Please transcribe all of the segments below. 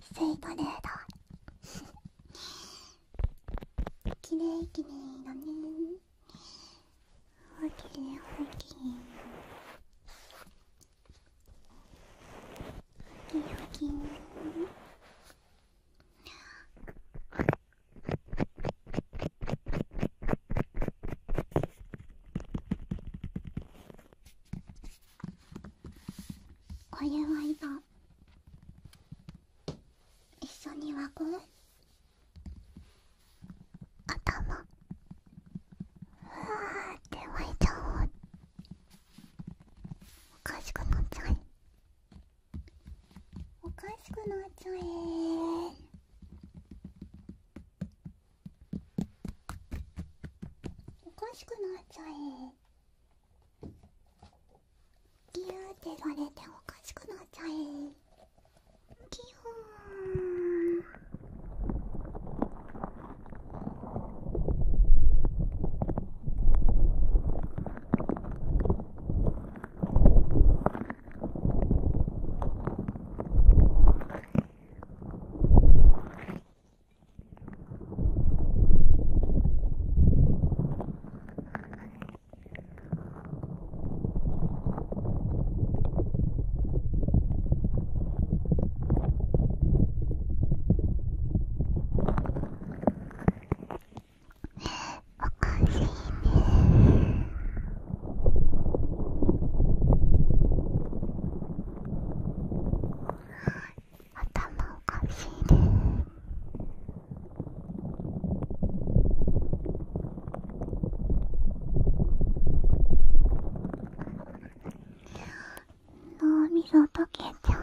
スイートレーダーきれいきれいだねおきれいおきれいほきれいほきれいお湯は今一緒に湧く頭ふわって沸いちゃおうおかしくなっちゃえおかしくなっちゃえおかしくなっちゃえギューってされておかしくなっちゃえギューおかしいね頭おかしいです。脳みそ溶けちゃう。…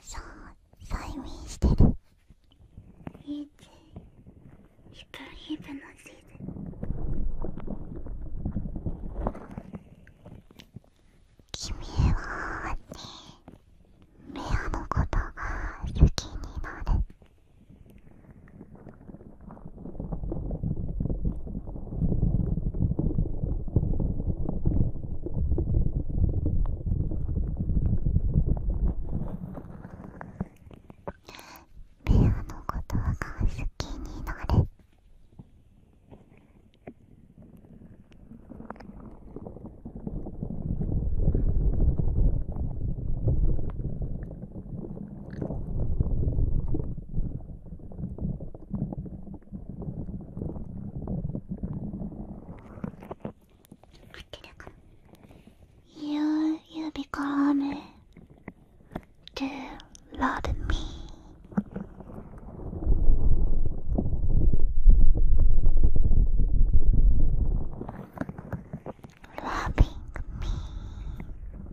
さう催眠してるいつ、ちヒプヒのシー君はねレアのことが好きになるペアのことが好きになる「You, you become to love me. Loving me.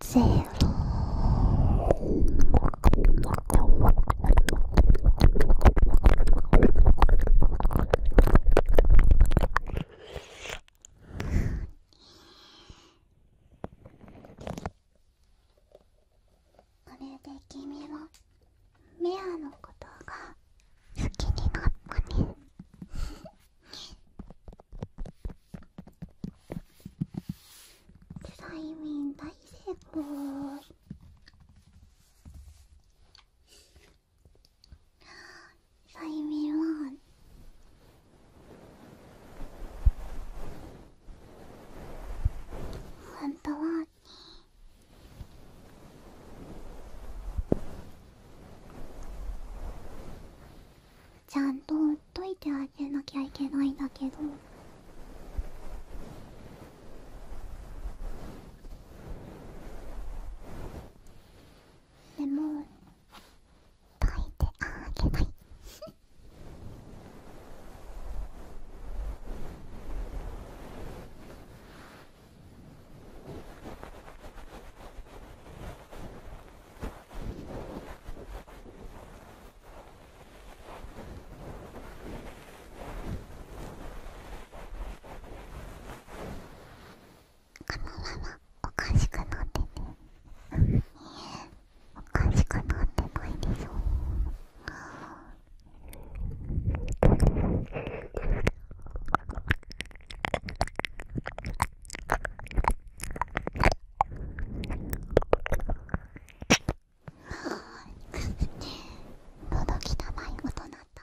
ゼロこれで君はメアのことが好きになったねスライミン大成功スライミンは本当はちゃんとっいてあげなきゃいけないんだけどでも抱いてあげない このままおかしくなってね…え、おかしくなってないでしょあのどきたまい音鳴った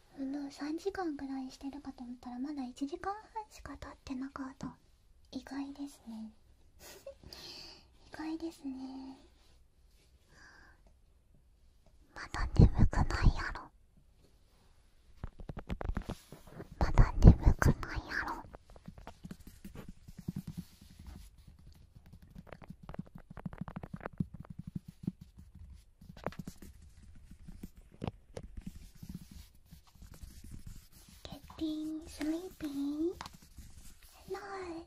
3時間ぐらいしてるかと思ったらまだ1時間半しか経ってなかった意外ですね 意外ですねまだ眠くないやろまだ眠くないやろ Getting sleepy. Hello.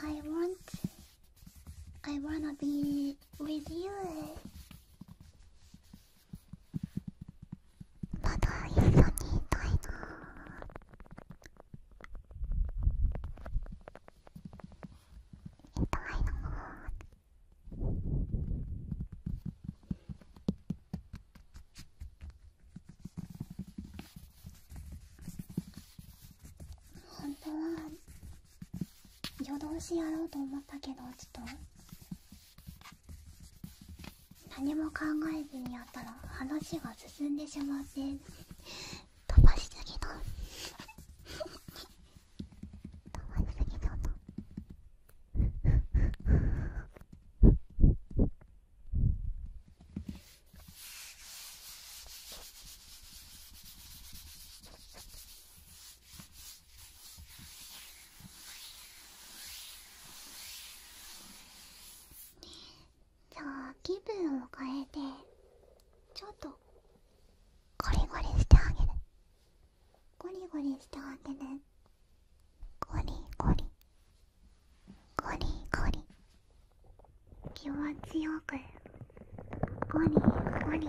I want I wanna be with you. まだ一緒にいたいな痛いな本当は夜通しやろうと思ったけどちょっと何も考えずにやったら話が進んでしまって飛ばしすぎだ飛しすぎだなじゃあ気分を変えてちょっとゴリゴリしてあげるゴリゴリしてあげるゴリゴリゴリゴリ気持ちよくゴリゴリ。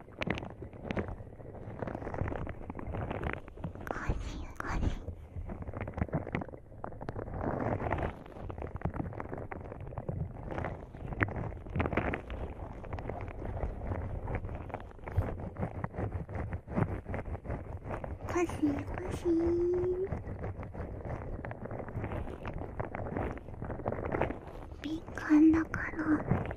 欢喜欢喜。敏感だから。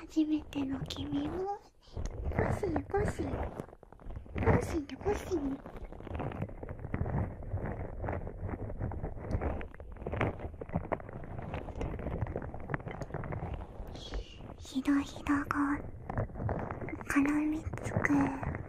初めての君もコッシーコッシーコッシーとコッシひどひどが絡みつく。